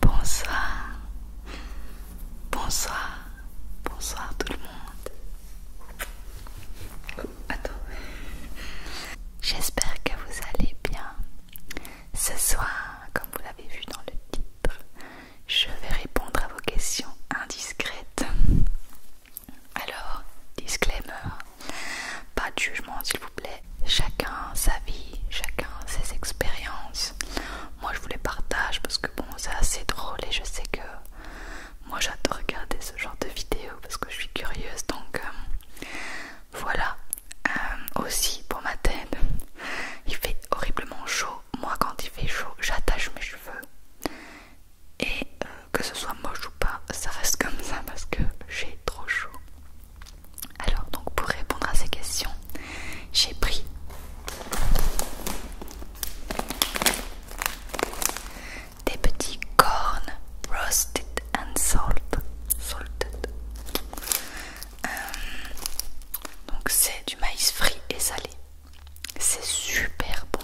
Bonsoir, bonsoir, bonsoir tout le monde. J'espère que vous allez bien. Ce soir, comme vous l'avez vu dans le titre, je vais répondre à vos questions indiscrètes. Alors, disclaimer, pas de jugement s'il vous plaît chacun sa vie, chacun ses expériences. Moi je vous les partage parce que bon c'est assez drôle et je sais que moi j'adore regarder ce genre de vidéos parce que je suis curieuse donc euh, voilà. Euh, aussi pour ma tête, il fait horriblement chaud. Moi quand il fait chaud j'attache mes cheveux et euh, que ce soit moche ou pas ça reste comme ça parce que j'ai trop chaud. Alors donc pour répondre à ces questions, j'ai pris des petits cornes roasted and salted. Euh, donc c'est du maïs frit et salé. C'est super bon.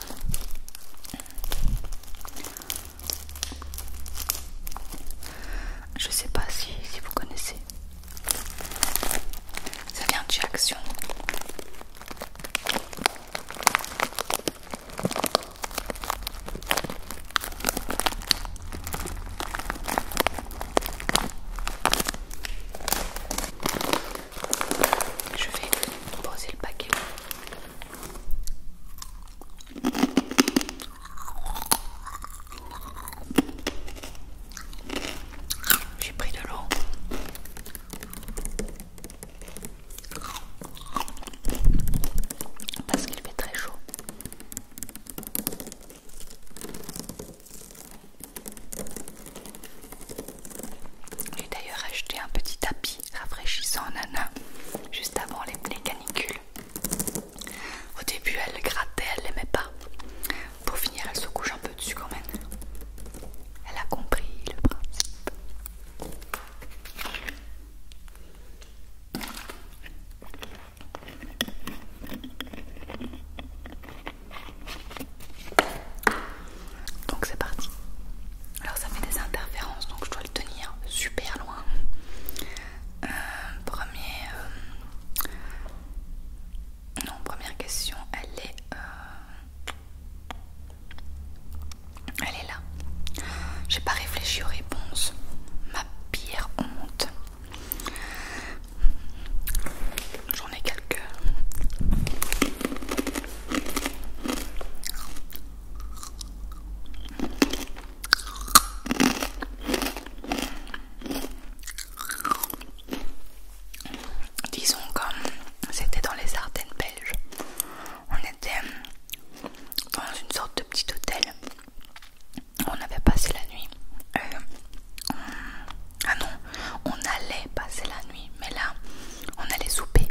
Je sais pas si, si vous connaissez. Ça vient de Je vais poser le paquet. J'ai pris de l'eau. Parce qu'il fait très chaud. J'ai d'ailleurs acheté un petit tapis rafraîchissant en nana juste avant les, les canicules. Au début, elle grattait, elle l'aimait pas. Pour finir, elle se couche un peu dessus quand même. Elle a compris le principe. Donc c'est parti. Alors ça fait des interférences, donc je dois le tenir super loin. Euh, premier, euh, non, première question, elle est, euh, elle est là. J'ai pas réfléchi aux réponses. Ma pire honte. J'en ai quelques. Disons comme c'était dans les Ardennes belges. On était euh, dans une sorte de petit hôtel. On avait passé la nuit. Euh, ah non, on allait passer la nuit, mais là, on allait souper.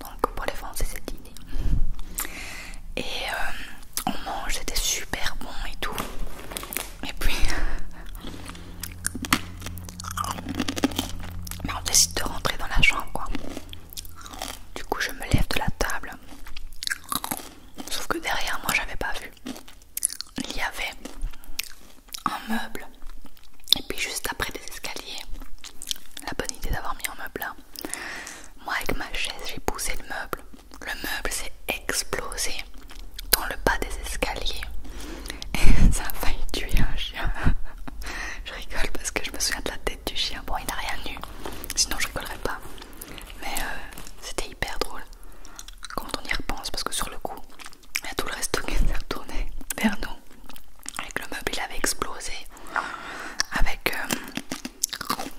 Donc pour les Français, c'est dîner et euh, on mange, c'était super bon et tout. Et puis, bah, on décide de rentrer dans la chambre quoi. Du coup, je me lève de la table. Sauf que derrière moi, j'avais pas vu. Il y avait un meuble. Et puis juste après des escaliers. La bonne idée d'avoir mis un meuble là. Moi avec ma chaise, j'ai poussé le meuble le meuble s'est explosé dans le bas des escaliers et ça a failli tuer un chien. je rigole parce que je me souviens de la tête du chien. Bon, il n'a rien eu, sinon je rigolerais pas. Mais euh, c'était hyper drôle quand on y repense parce que sur le coup, il y a tout le reste qui s'est retourné vers nous. Avec le meuble, avait explosé. Avec euh,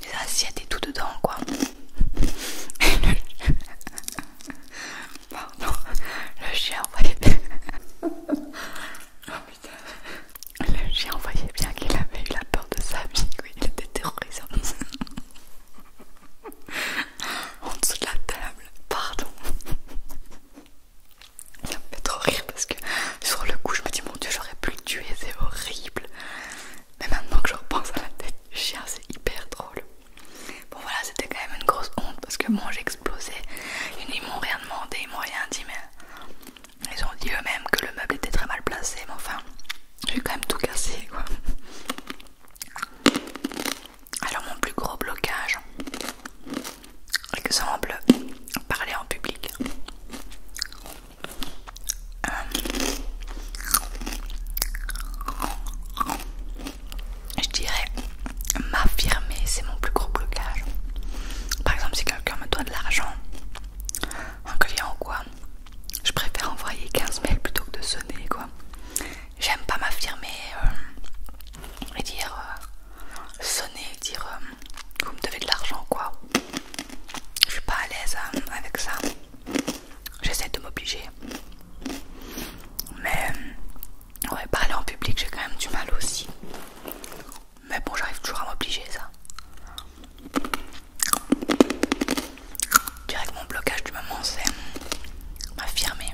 des assiettes et tout dedans quoi. Pardon, le chien voyait bien. oh putain. Le chien voyait bien qu'il avait eu la peur de sa vie, oui, il était terrorisé. en dessous de la table, pardon. Ça me fait trop rire parce que sur le coup je me dis mon dieu j'aurais pu le tuer, c'est horrible. Mais maintenant que je repense à la tête chien, c'est hyper drôle. Bon voilà, c'était quand même une grosse honte parce que moi explosé Ils m'ont rien demandé, ils m'ont rien dit, mais ils ont dit eux-mêmes que le meuble était très mal placé. Mais enfin, j'ai quand même tout cassé quoi. Alors, mon plus gros blocage, que exemple, parler en public. Euh, je dirais m'affirmer, c'est mon plus gros blocage. Par exemple, si quelqu'un me doit de l'argent, un client ou quoi, je préfère envoyer 15 mails plutôt que de sonner quoi. J'aime pas m'affirmer euh, et dire sonner euh, sonner, dire que vous me devez de l'argent quoi je suis pas à l'aise hein, avec ça. J'essaie de m'obliger. Mais euh, ouais, parler en public, j'ai quand même du mal aussi. Mais bon, j'arrive toujours à m'obliger ça. que mon blocage du moment, c'est euh, m'affirmer.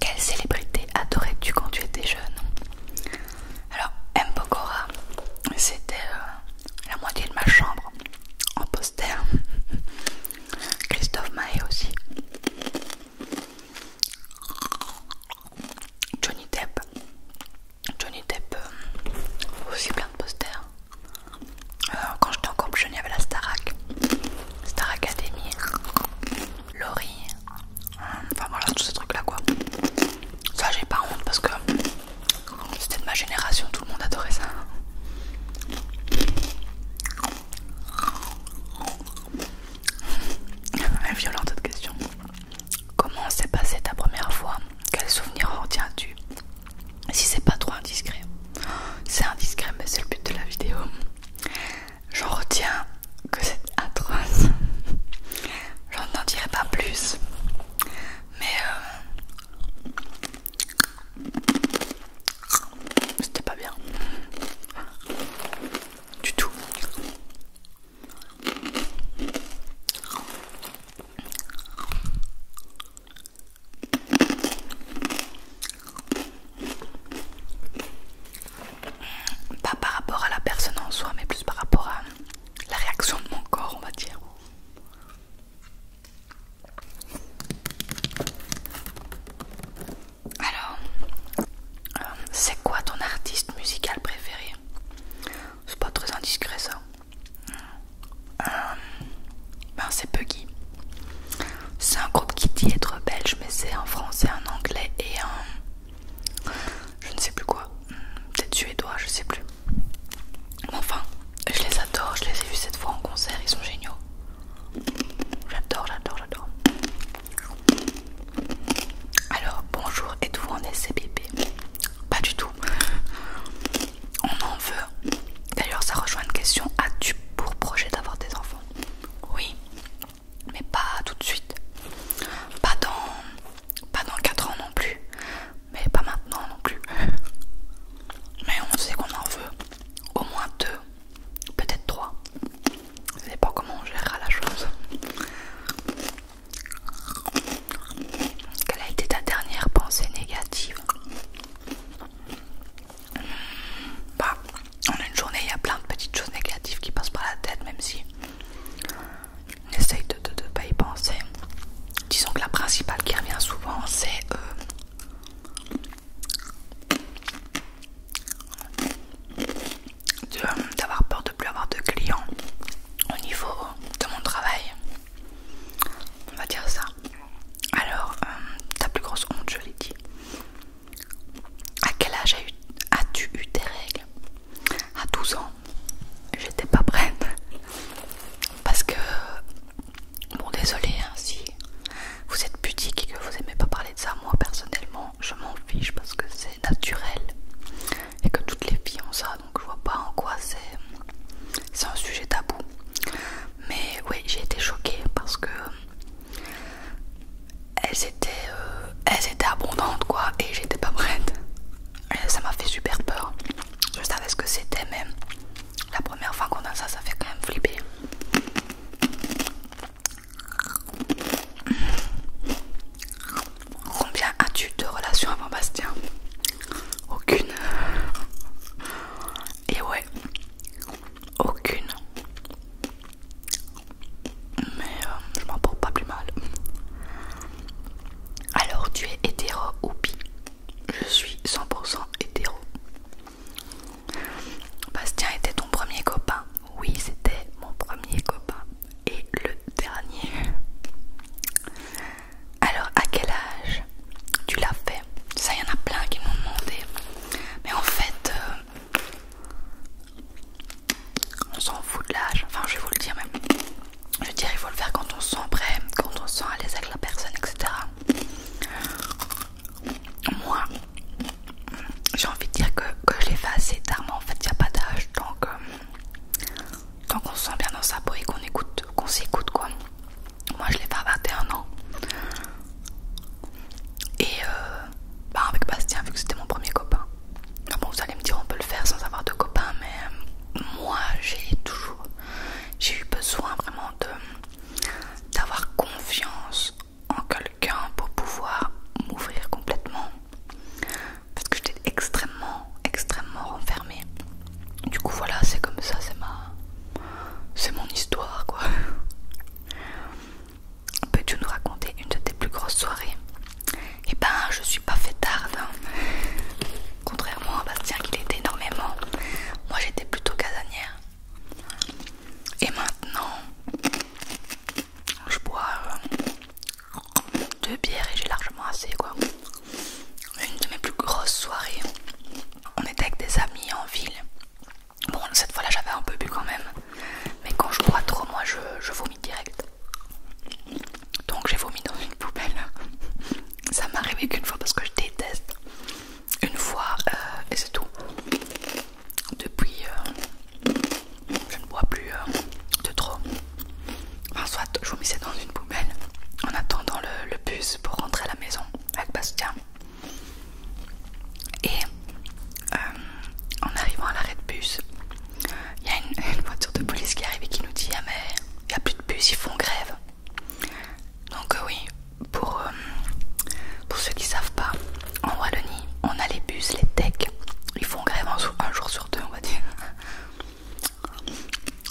Quelle célébrité adorais-tu quand tu étais jeune alors, Mbogora, c'était euh, la moitié de ma chambre en poster. Christophe Maé aussi. Johnny Depp. Johnny Depp, euh, aussi plein de posters. Euh, quand j'étais en couple, je n'y avais la Starak. Star Academy. Laurie, Enfin voilà, tous ces trucs là quoi. Ça, j'ai pas honte parce que c'était de ma génération, tout le monde adorait ça. violent question. Comment s'est passée ta première fois Quels souvenirs retiens-tu Si c'est pas trop indiscret, c'est indiscret, mais c'est le but de la vidéo. J'en retiens que c'est atroce. J'en n'en dirai pas plus. Mais euh, c'était pas bien. Du tout pas par rapport à la personne en soi mais plus par rapport à la réaction de mon corps on va dire alors euh, c'est quoi ton artiste musical préféré c'est pas très indiscret ça euh, ben c'est Puggy c'est un groupe qui dit être belge mais c'est en français en anglais et en je ne sais plus quoi, peut-être suédois, je sais plus. Mais enfin, je les adore, je les ai vus cette fois en concert, ils sont géniaux. J'adore, j'adore, j'adore. Alors, bonjour, êtes-vous en SCBP Pas du tout. On en veut. D'ailleurs, ça rejoint une question. As-tu pour projet d'avoir des enfants Oui mais pas tout de suite. Pas dans, pas dans 4 ans non plus, mais pas maintenant non plus. Mais on sait qu'on en veut au moins deux, peut-être trois. sais pas comment on gérera la chose. Quelle a été ta dernière pensée négative bah, en une journée, il y a plein de petites choses négatives qui passent par la tête, même si essaye de ne pas y penser. Disons que la principale qui revient souvent, c'est euh, euh, d'avoir peur de plus avoir de clients au niveau euh, de mon travail. On va dire ça. Alors, ta plus grosse honte, je l'ai dit. À quel âge as-tu eu tes règles à 12 ans, j'étais pas prête. Parce que, bon, désolé hein, si vous êtes pudique et que vous aimez pas parler de ça. Moi personnellement, je m'en fiche parce que c'est naturel et que toutes les filles ont ça. Donc, je vois pas en quoi c'est un sujet tabou. Mais oui, j'ai été choquée parce que elles étaient, euh, elles abondantes quoi et j'étais pas prête. ça m'a fait super peur. Je savais ce que c'était mais la première fois qu'on a ça, ça fait quand même flipper. Combien as-tu de relations avant Bastien Aucune. Et ouais, aucune mais euh, je m'en porte pas plus mal. Alors, tu es hétéro ou bi Je suis 100% hétéro. Bastien était ton premier copain Oui, c'était mon premier copain. Et le dernier. Alors, à quel âge tu l'as fait Ça, y en a plein qui m'ont demandé. Mais en fait, euh, on s'en fout de l'âge, enfin je vais vous le dire même. Je veux dire, il faut le faire quand on se sent prêt, quand on se sent à l'aise avec la personne, etc. Moi, j'ai envie de dire que, je l'ai fait assez tard, mais en fait, il n'y a pas d'âge. Euh, tant qu'on se sent bien dans sa peau et qu'on écoute, qu'on s'écoute quoi. Moi, je l'ai fait à 21 ans. Et euh, bah, avec Bastien, vu que c'était mon premier copain. Ah vous allez me dire, on peut le faire sans avoir de copain, mais euh, moi j'ai toujours j'ai eu besoin vraiment de d'avoir confiance en quelqu'un pour pouvoir m'ouvrir complètement parce que j'étais extrêmement extrêmement renfermée du coup voilà c'est comme ça c'est ma c'est mon histoire quoi Peux-tu nous raconter une de tes plus grosses soirées Eh ben, je suis pas fait tard, Contrairement à Bastien qui était énormément, moi j'étais plutôt casanière. Et maintenant, je bois euh, deux bières et j'ai largement assez quoi. Une de mes plus grosses soirées, on était avec des amis en ville. Bon, cette fois-là j'avais un peu bu quand même, mais quand je bois trop, moi je, je vomis direct. Donc j'ai vomi dans une poubelle. Ça m'est arrivé qu'une fois parce que je déteste. Une fois euh, et c'est tout. Depuis, euh, je ne bois plus euh, de trop. Enfin, soit je vomissais dans une poubelle en attendant le, bus pour rentrer à la maison avec Bastien. Et en arrivant à l'arrêt de bus, il y a une, voiture de police qui arrive et qui nous dit Ah, mais il n'y a plus de bus, ils font grève. Donc, euh, oui, pour, euh, pour ceux qui ne savent pas, en Wallonie, on a les bus, les techs, ils font grève un, jour sur deux, on va dire.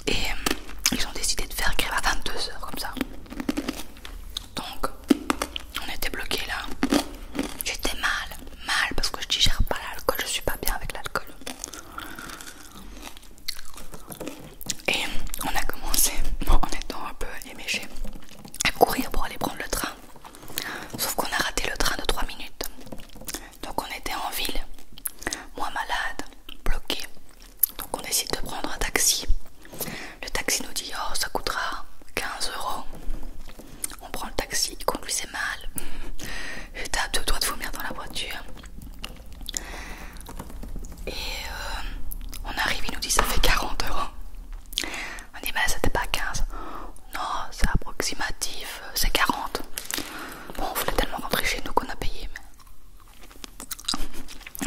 Et euh, ils ont décidé de faire grève à 22h comme ça. Donc, on était bloqué là. J'étais mal, mal parce que je digère pas l'alcool, je suis pas bien avec l'alcool. Et on a commencé, en étant un peu éméché, à courir pour aller prendre le train. Sauf qu'on a raté le train de 3 minutes. Donc on était en ville, moi malade, bloqué. Donc on décide de prendre un taxi. Le taxi nous dit Oh, ça coûtera 15 euros. On prend le taxi, il conduisait mal. J'étais à deux doigts de vomir dans la voiture. Et euh, on arrive, il nous dit ça fait 40 euros. On dit mais c'était pas 15. Non, c'est approximatif, euh, c'est 40. Bon, on voulait tellement rentrer chez nous qu'on a payé.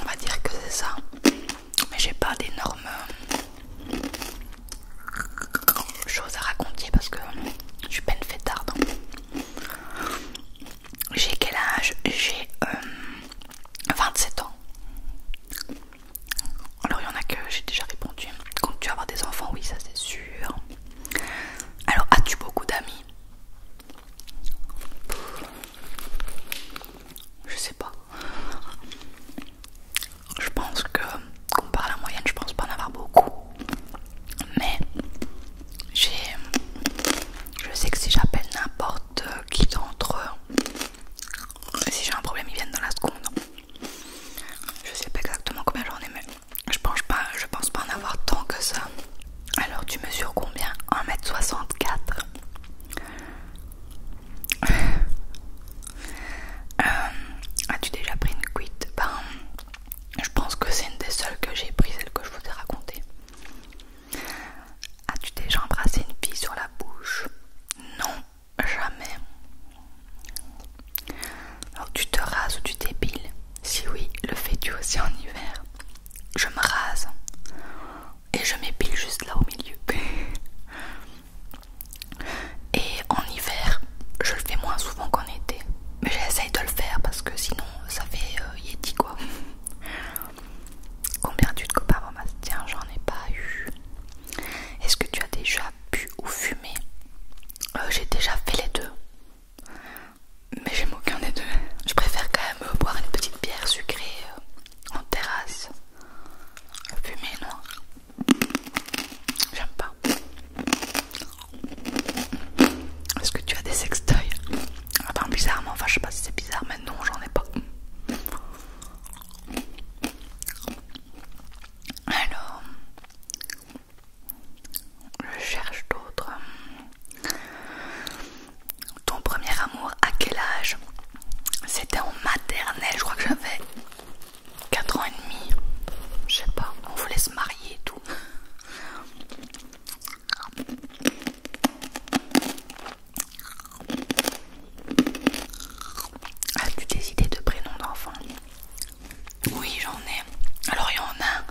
on va dire que c'est ça. Mais j'ai pas d'énormes euh, Chose à raconter parce que je suis peine fait tard. J'ai quel âge J'ai 27 euh, ans. Alors il y en a que j'ai déjà répondu. Quand tu avoir des enfants, oui, ça c'est sûr. Alors as-tu beaucoup d'amis Je sais pas je pense que comparé à la moyenne, je pense pas en avoir beaucoup. Mais j'ai, je sais que si j'appelle n'importe qui d'entre eux, si j'ai un problème, ils viennent dans la seconde. Je sais pas exactement combien j'en ai, mais je pense pas, je pense pas en avoir tant que ça. Alors tu mesures combien 1m64 euh, as-tu déjà pris une cuite ben, je pense que c'est une des seules que j'ai prises, celle que je vous ai racontée. As-tu déjà embrassé une fille sur la bouche Non, jamais. Alors tu te rases ou tu t'épiles Si oui, le fais-tu aussi en hiver Je me rase et je m'épile juste là au milieu. Et en hiver, je le fais moins souvent qu'en été. Mais j'essaye de le faire parce que sinon ça fait yéti euh, Yeti quoi. Combien de copains Tiens, j'en ai pas eu. Est-ce que tu as déjà bu ou fumé euh, J'ai déjà fait les deux. Mais j'aime aucun des deux. Je préfère quand même euh, boire une petite bière sucrée en terrasse. Fumer, non J'aime pas. Est-ce que tu as des sextoys Attends, bizarrement, enfin je sais pas si c'est bizarre, mais non, j'en ai pas. Alors, je cherche d'autres. Ton premier amour, à quel âge C'était en maternelle, je crois que j'avais 4 ans et demi, je sais pas, on vous laisse marier et tout. As-tu des idées de prénoms d'enfants Oui, j'en ai. Alors, il y en a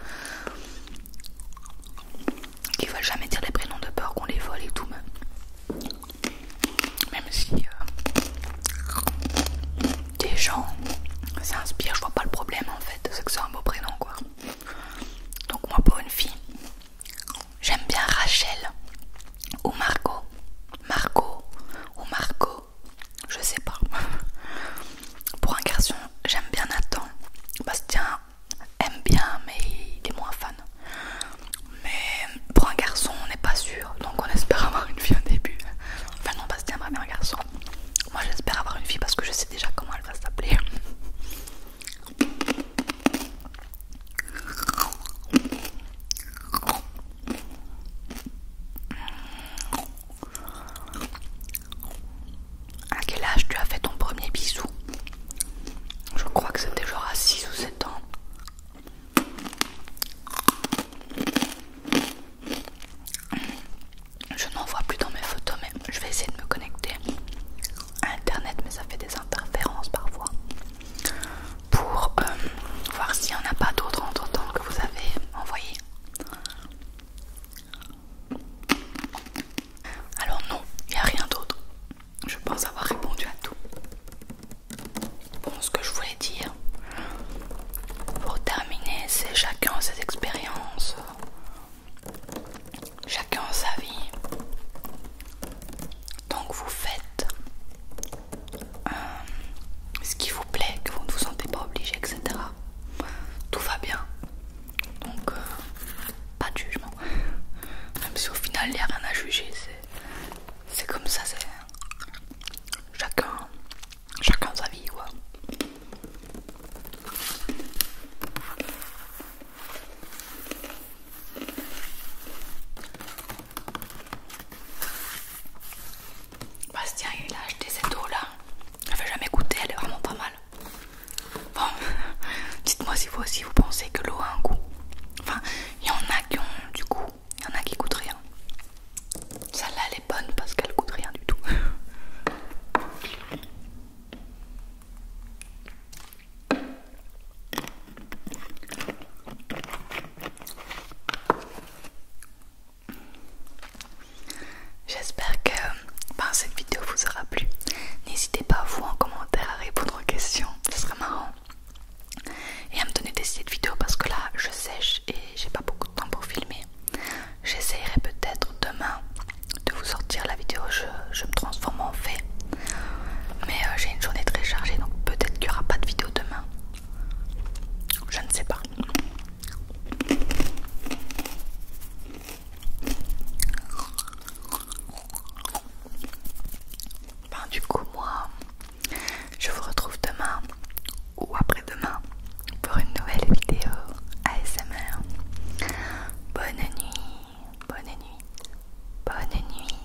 qui veulent jamais dire les prénoms de peur qu'on les vole et tout, mais même si euh, des gens s'inspirent, je vois pas le problème en fait, c'est que c'est un beau prénom quoi. Donc moi pour une fille, j'aime bien Rachel ou Margot, Margot ou Margot, je sais pas. pour un garçon, j'aime bien Nathan, Bastien aime bien mais il est moins fan. Mais pour un garçon, on n'est pas sûr. Donc on espère avoir une fille au début. Enfin, non, Bastien que bien un garçon. Moi, j'espère avoir une fille parce que je sais déjà comment elle va s'appeler. À quel âge tu as fait ton premier bisou Je crois que c'était genre à 6 ou 7 ans. Je n'en vois plus dans mes photos, mais je vais essayer de me connecter à internet, mais ça fait des interférences parfois pour euh, voir s'il n'y en a pas d'autres entre temps que vous avez envoyé. Alors, non, il n'y a rien d'autre. Je pense avoir répondu à tout. Bon, ce que je voulais dire pour terminer, c'est chacun ses expériences, chacun sa vie. Donc vous faites euh, ce qui vous plaît, que vous ne vous sentez pas obligé, etc. Tout va bien. Donc, euh, pas de jugement. Même si au final, il n'y a rien à juger, c'est comme ça, chacun, chacun sa vie quoi. Bastien il a acheté cette eau là, je l'avais jamais goûter elle est vraiment pas mal. Bon, dites-moi si vous aussi vous pensez que l'eau a un goût. Enfin, il y en a qui ont du goût il y en a qui coûtent rien. Celle-là, elle est bonne parce qu'elle coûte rien du tout. J'espère que ben, cette vidéo vous aura plu. N'hésitez pas vous en commentaire à répondre aux questions, ce serait marrant et à me donner des idées de vidéos parce que là je sèche et j'ai pas beaucoup de temps pour filmer. J'essayerai peut-être demain de vous sortir la vidéo, je, me transforme en fait, Mais euh, j'ai une journée très chargée donc peut-être qu'il y aura pas de vidéo demain. Je ne sais pas. Ben, du coup, moi, je vous retrouve demain ou après-demain pour une nouvelle vidéo ASMR. Bonne nuit, bonne nuit, bonne nuit.